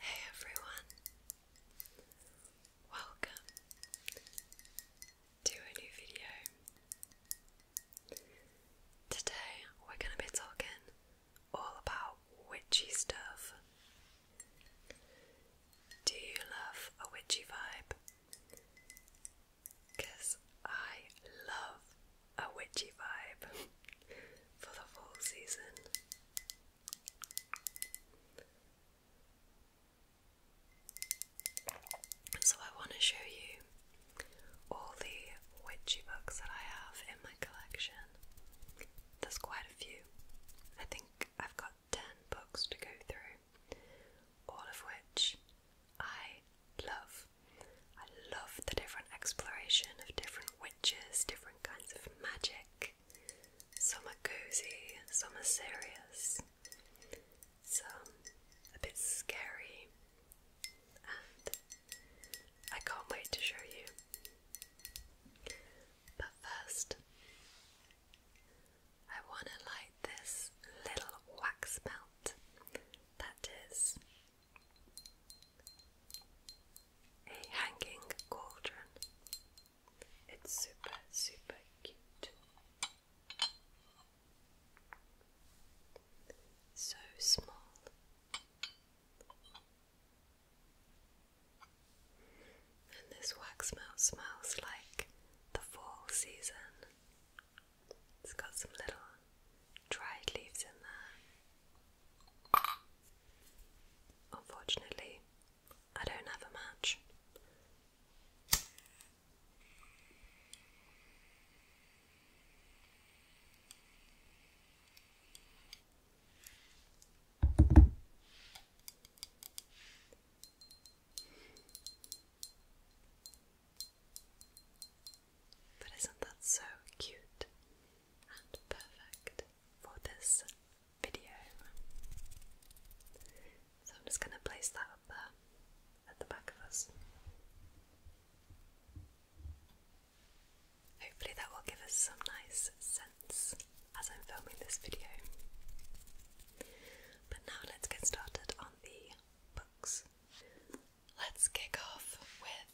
Hey everyone, welcome to a new video. Today we're going to be talking all about witchy stuff. Do you love a witchy vibe? Because I love a witchy vibe for the fall season. So, I want to show you all the witchy books that I have in my collection. There's quite a few. I think I've got 10 books to go through, all of which I love. I love the different exploration of different different kinds of magic. Some are cozy, some are serious, some a bit scary, and I can't wait to show you. But first, I want to light this little wax melt that is a hanging cauldron. It's super, super cute. So small. And this wax melt smells like the fall season. It's got some little dried leaves in there. Unfortunately, I don't have a match. But isn't that so cute? perfect for this video. So I'm just going to place that up at the back of us. Hopefully, that will give us some nice sense as I'm filming this video. But now let's get started on the books. Let's kick off with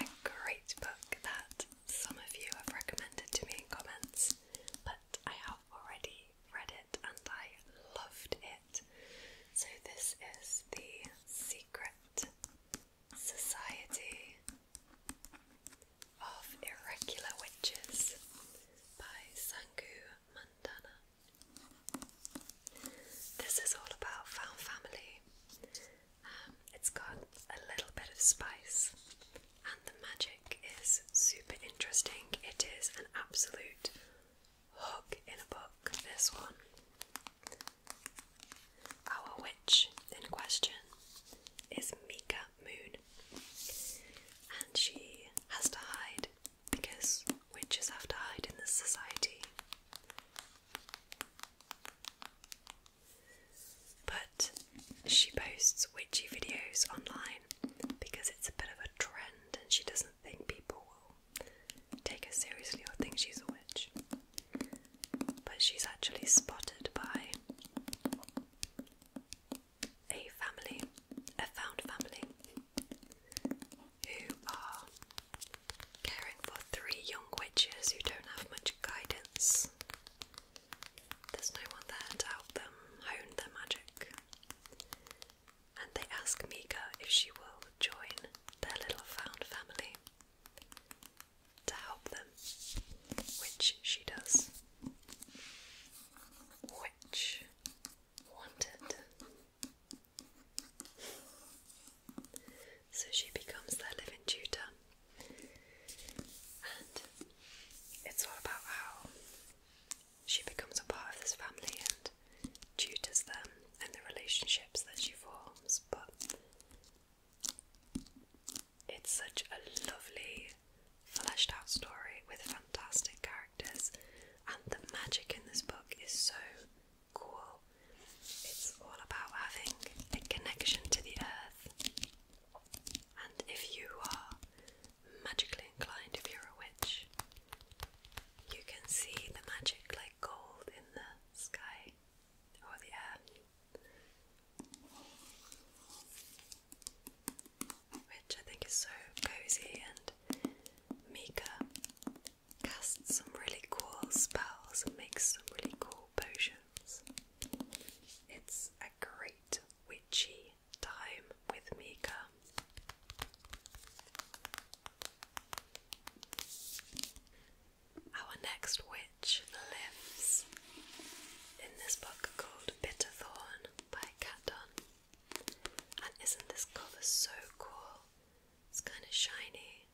a great book that some of you have recommended to me in comments, but I have already read it and I loved it. So, this is The Secret Society of Irregular Witches by Sangu Mandana. This is all about found family it's got a little bit of spice, and the magic is super interesting. It is an absolute hook in a book, this one. Our witch in question is Mika Moon, and she has to hide because witches have to hide in this society. But she posts witchy videos online because it's a bit of a trend and she doesn't think people will take her seriously or think she's a witch. But she's actually spotted by a family, a found family, who are caring for three young witches who don't have much guidance. There's no one there to help them hone their magic. And they ask Mika if she will join their little found family to help them, which she does. Which wanted. So she becomes their living tutor. And it's all about how she becomes a part of this family and tutors them and the relationships that she forms. But it's such a lovely, fleshed out story with fantastic characters, and the magic in this book is so cool. It's all about having a connection to the earth. And if you are magically inclined, if you're a witch, you can see the magic like gold in the sky or the air. Which I think is so cozy, and Mika casts some really cool spells and makes some really cool potions. It's a great witchy time with Mika. Our next witch lives in this book called Bitterthorn by Catdon. And isn't this cover so cool? It's kind of shiny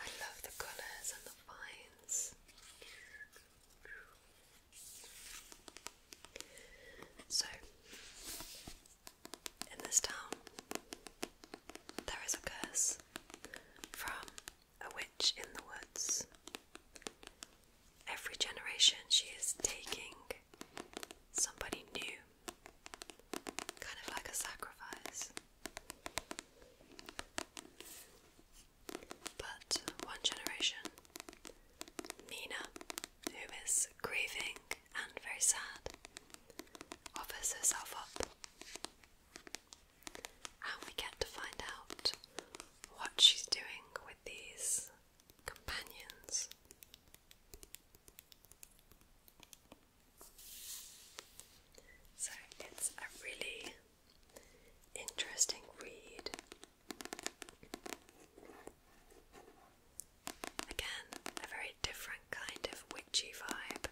I love the colours and the vines. So, in this town, there is a curse from a witch in the woods. Every generation, she is taking somebody new, kind of like a sacrifice. But one generation, Nina, who is grieving and very sad, offers herself up. And we get to find out what she's doing with these companions. So it's a really interesting read. Again, a very different kind of witchy vibe.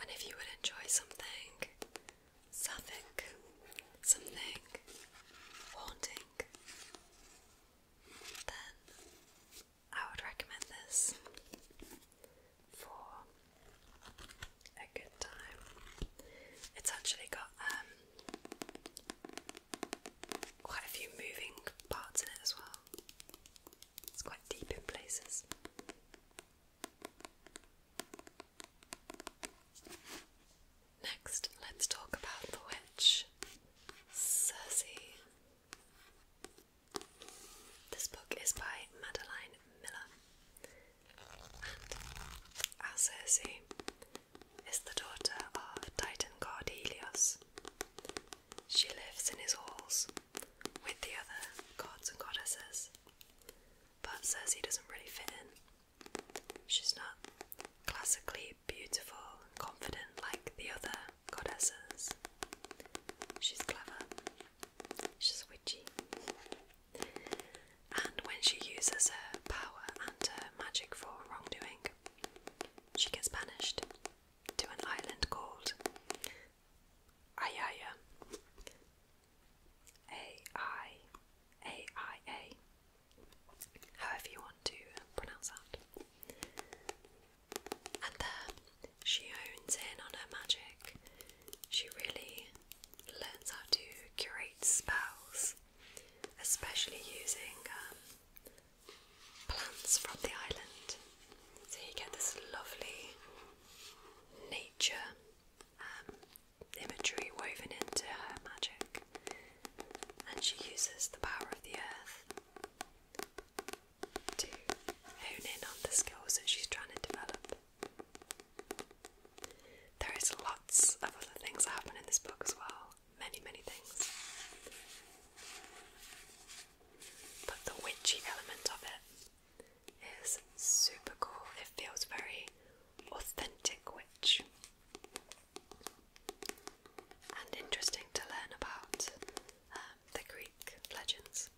And if you would enjoy something sapphic, something haunting, then I would recommend this for a good time. It's actually got um, quite a few moving parts in it as well. It's quite deep in places. Next, let's talk about the witch, Cersei. This book is by Madeline Miller, and our is the daughter of Titan god She lives in his halls with the other gods and goddesses, but Circe doesn't really fit in. She's not classically beautiful and confident like the other goddesses. She's clever. She's witchy. And when she uses her power and her magic for wrongdoing, she gets banished to an island called Ayaya however you want to pronounce that. And then she owns in on her magic. She really learns how to curate spells, especially using um, plants from the island. So you get this lovely nature um, imagery woven into her magic and she uses the power of the earth to hone in on the skills that she's trying to develop. There is lots of other things that happen in this book as well, many, many things. But the witchy element of it is super cool. It feels very authentic witch and interesting to learn about um, the Greek legends.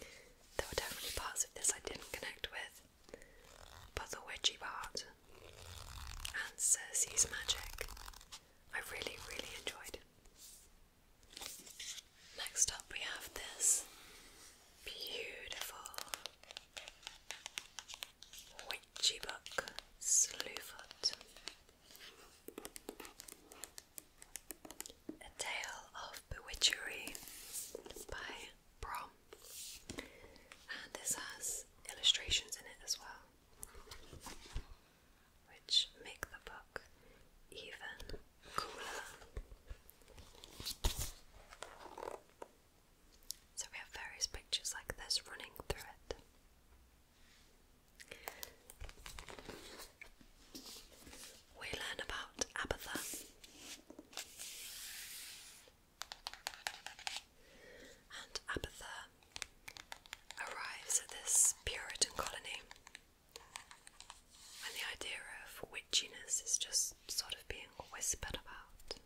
There were definitely parts of this I didn't connect with, but the witchy part and Cersei's magic I really, really enjoyed. Next up, we have this beautiful Witchy Buck, Slewfoot. A Tale of Bewitchery by Brom. And this has illustrations in it as well, which make the book even cooler. So we have various pictures like this running through it. We learn about Abatha. And Abatha arrives at this Puritan colony. And the idea of witchiness is just sort of being whispered about.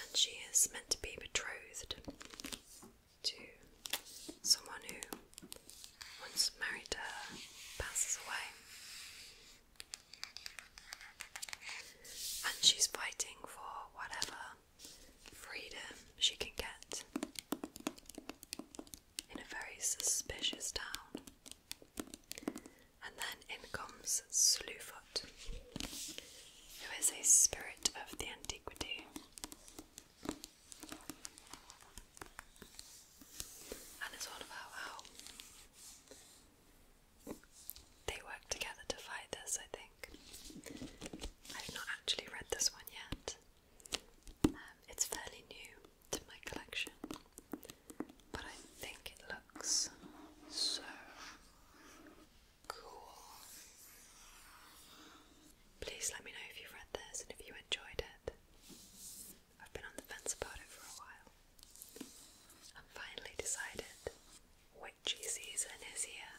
And she is meant to be betrothed to someone who, once married to her, passes away. And she's fighting for whatever freedom she can get in a very suspicious town. And then in comes Slewfoot, who is a spirit of the antiquity. And it's all about how they work together to fight this, I think. I've not actually read this one yet. Um, it's fairly new to my collection but I think it looks so cool. Please let me know if you've read this and if you enjoyed it. I've been on the fence about it for a while. I've finally decided witchy season is here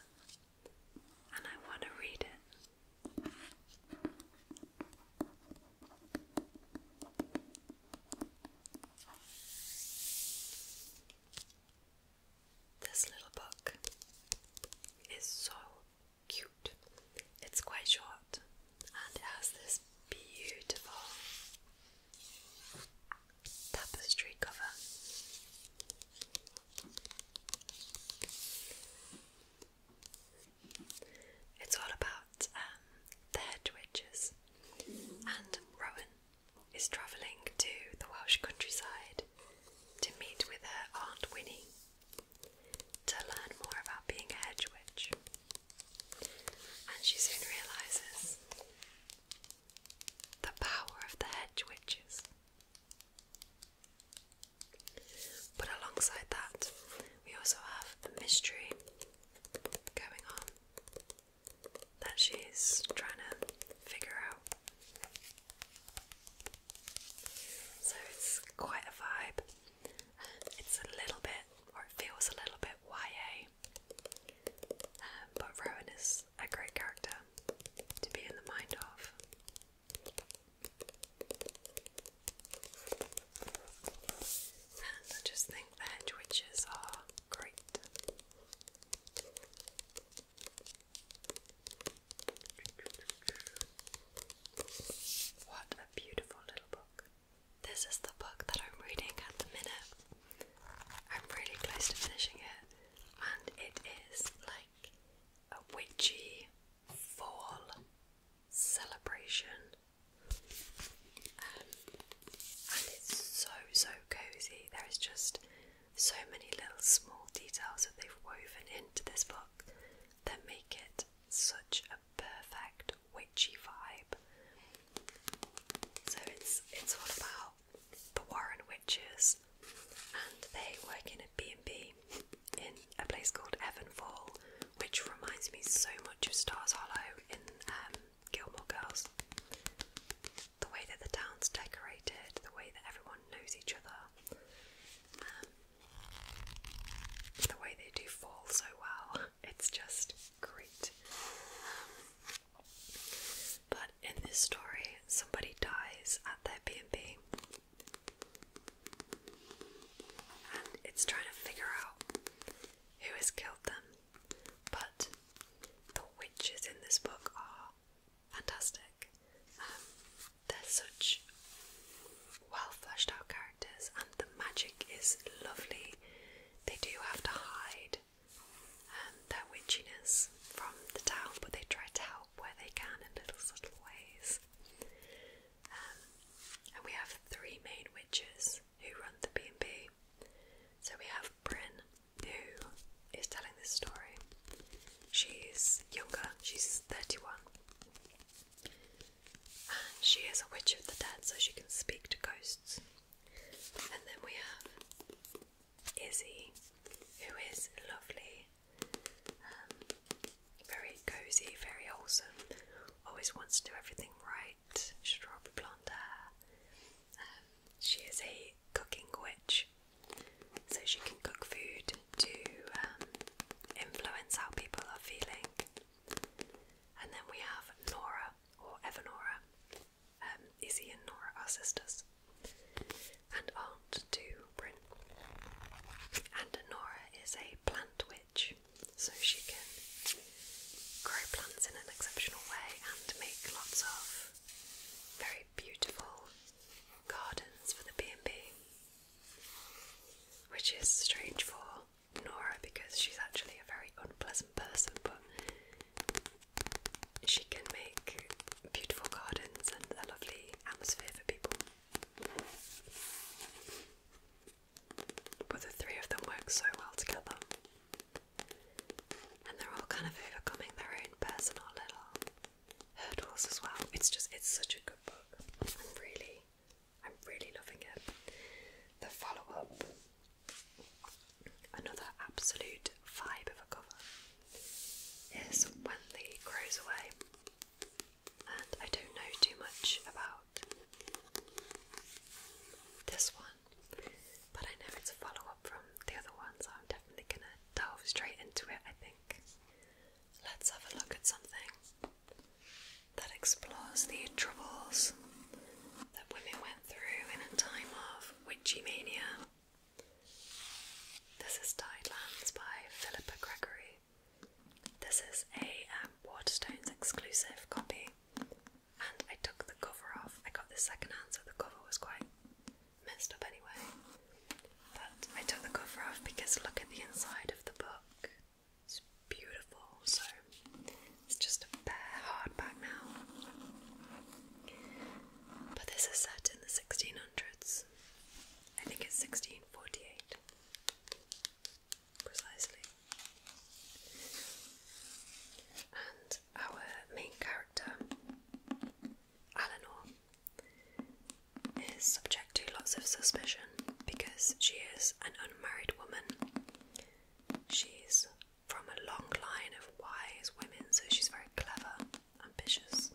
and I want to read it. This little book is so cute. It's quite short and it has this beautiful tapestry cover. It's all about um, the head and Rowan is travelling to the Welsh countryside to meet with her Aunt Winnie to learn more about being a hedge witch. And she soon realises the power of the hedge witches. But alongside that, we also have the mystery going on that she's trying to figure out. So it's quite a vibe. It's a little bit, or it feels a little bit YA. Um, but Rowan is a great character to be in the mind of. I just think the witches are great. What a beautiful little book. This is the book that I'm reading at the minute. I'm really close to finishing it, and it is like a witchy fall celebration um, and it's so so cozy. There is just so many little small details that they've woven into this book that make it such a perfect witchy vibe. So it's it's all about the Warren witches, and they work in a B and B in a place called Evanfall, which reminds me so much of Stars Hollow in um, Gilmore Girls. The way that the town's decorated, the way that everyone knows each other, um, the way they do fall so well, it's just great. Um, but in this story, somebody dies at their B&B and it's trying to figure out who has killed them but the witches in this book are fantastic. Um, they're such well fleshed out characters, and the magic is lovely. They do have to hide um, their witchiness from the town, but they try to help where they can in little subtle ways. Um, and we have three main witches who run the B&B. So we have Bryn, who is telling this story. She's younger, she's 31. And she is a witch of the dead, so she can speak to ghosts. And then we have Izzy, who is lovely, um, very cozy, very wholesome, always wants to do everything right white, blonde hair. Um, she is a cooking witch, so she can cook food to um, influence how people are feeling. And then we have Nora, or Evanora. Um, Izzy and Nora are sisters, and aunt to Bryn. And Nora is a plant witch so she can grow plants in an exceptional way and make lots of very beautiful gardens for the B&B which is strange for Nora because she's actually a very unpleasant person but she can make beautiful gardens and a lovely atmosphere for people but the three of them work so well together. And they're all kind of overcoming their own personal little hurdles as well. It's just, it's such a good book. I'm really, I'm really loving it. The follow up, another absolute vibe of a cover, is When the Crows Away. And I don't know too much about this one, but I know it's a follow up from the other one, I'm definitely gonna delve straight into it. I think. Let's have a look at something that explores the troubles that women went through in a time of witchy mania. This is Tidelands by Philippa Gregory. This is a um, Waterstones exclusive copy and I took the cover off. I got this second hand, so the cover was quite messed up anyway. But I took the cover off because look at the inside of the book. It's beautiful, so it's just a bare hardback now. But this is set in the 1600s. I think it's 1648. Precisely. And our main character, Eleanor, is subject to lots of suspicion because she is an unmarried woman. She's from a long line of wise women, so she's very clever, ambitious,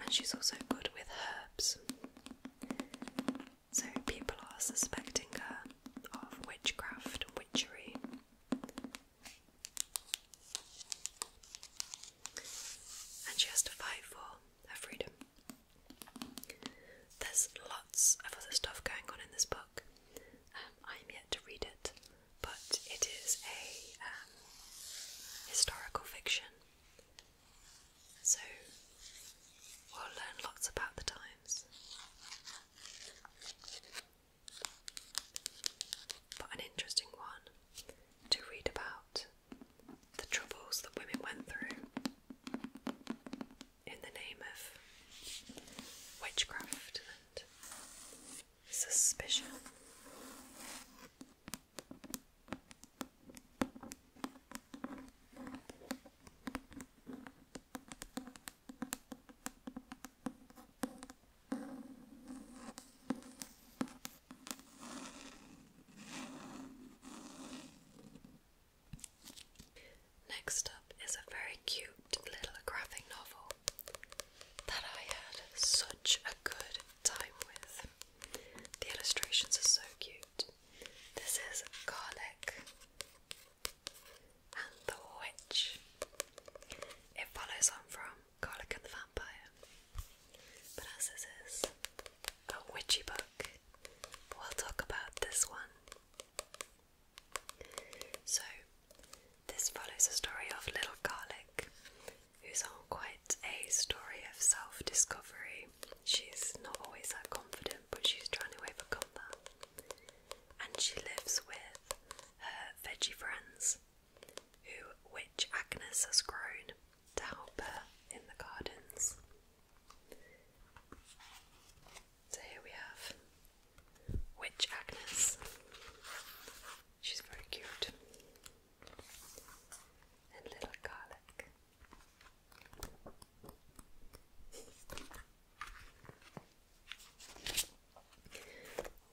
and she's also good with herbs. So people are suspecting her of witchcraft and witchery. And she has to fight for her freedom. There's lots of other stuff going on in this book. Um, I'm yet to read it, but it is a um, historical fiction. So we'll learn lots about the times but an interesting one to read about the troubles that women went through in the name of witchcraft and suspicion. Next up is a very cute little graphic novel that I had such a good time with. The illustrations are so cute. This is Garlic and The Witch. It follows on from Garlic and the Vampire. But as this is a witchy book, we'll talk about this one. So, this follows the story of Little Garlic, who's on quite a story of self discovery. She's not always that confident, but she's trying to overcome that and she lives with her veggie friends, who Witch Agnes has grown to help her in the gardens. So here we have Witch Agnes. She's very cute. And little garlic.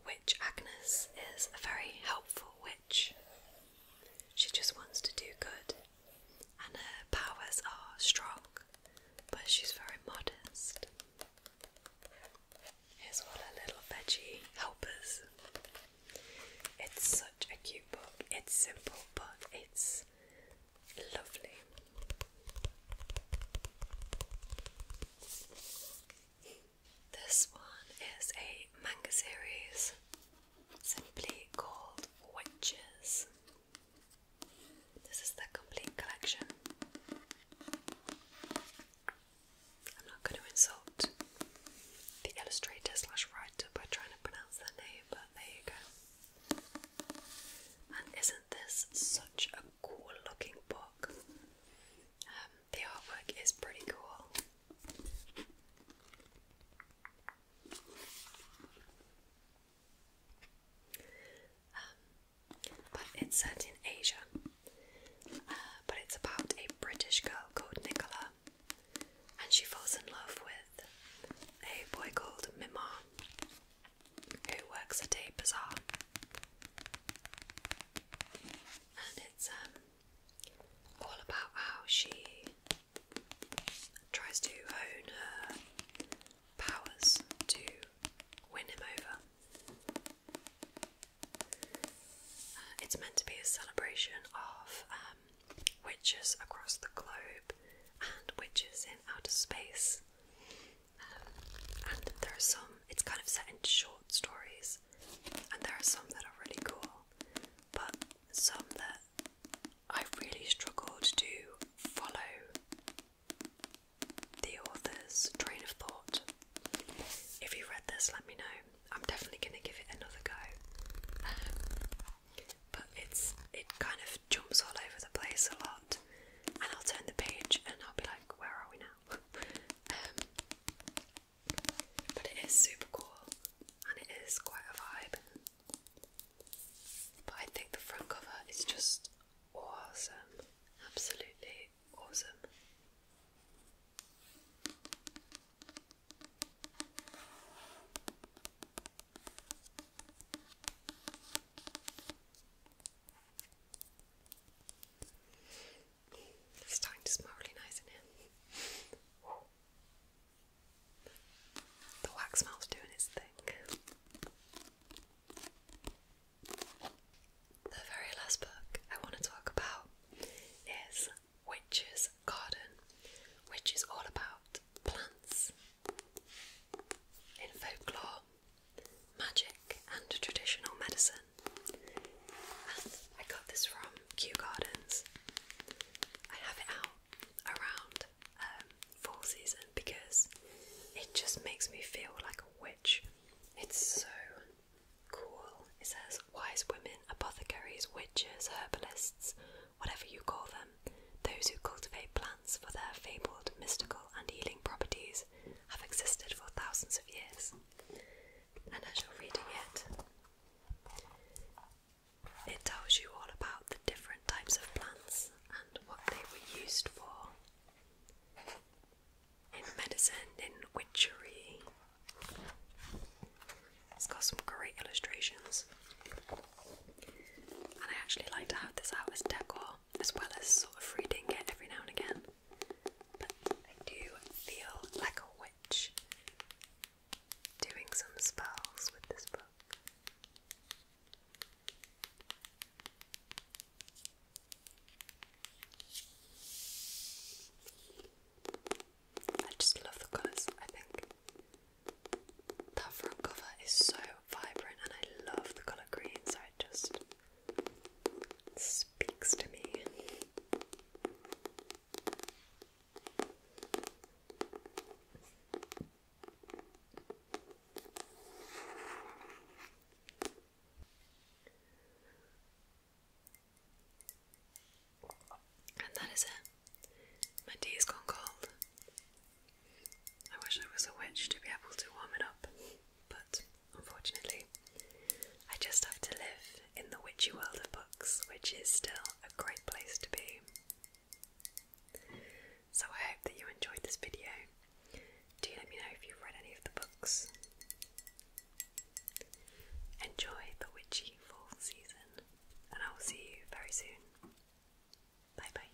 Witch Agnes is a very helpful witch. She just wants to do good, and her powers are strong, but she's very modest. Here's all her little veggie helpers. It's such a cute book. It's simple, but it's Lovely. This one is a manga series simply called Witches. This is the complete collection. I'm not going to insult the illustrator slash writer by trying to pronounce their name, but there you go. And isn't this is such a cool looking book? Um, the artwork is pretty cool. Um, but it's set in Asia. Uh, but it's about a British girl called Nicola, and she falls in love with a boy called Mimar who works at a bazaar. And it's um, all about how she tries to own her powers to win him over. Uh, it's meant to be a celebration of um, witches across the globe and witches in outer space. Um, and there are some, it's kind of set into short stories, and there are some that are really cool, but some that I really struggled to follow the author's train of thought. If you have read this, let me know. I'm definitely going to give it another go. Um, but it's it kind of jumps all over the place a lot, and I'll turn the page and I'll be like, where are we now? Um, but it is super cool and it is quite a vibe. But I think the front cover is just awesome, absolutely awesome. It's starting to smell really nice in here. The wax melt's doing its thing. The very last book I want to talk about is Witch's Garden, which is all about plants in folklore magic and traditional medicine. I got this from Kew Gardens. I have it out around um, season because it just makes me feel like a witch. It's so cool. It says wise women, apothecaries, witches, herbalists, whatever you call them, those who cultivate plants for their fabled mystical and healing properties have existed for thousands of years. And as you're reading it, it tells you all about the different types of plants and what they were used for in medicine, in witchery. It's got some great illustrations. And I actually like to have this out as decor as well as sort of reading it every now and again. But I do feel like a witch doing some spells with this book. I just love the colours, I think. That front cover is so vibrant and I love the colour green, so it just speaks to me. And that is it. My tea has gone cold. I wish I was a witch to be able to warm it up, but unfortunately, I just have to live in the witchy world of books, which is still a great place to be. So I hope that you enjoyed this video. Do let me know if you've read any of the books. Enjoy the witchy fall season, and I will see you very soon. Bye bye.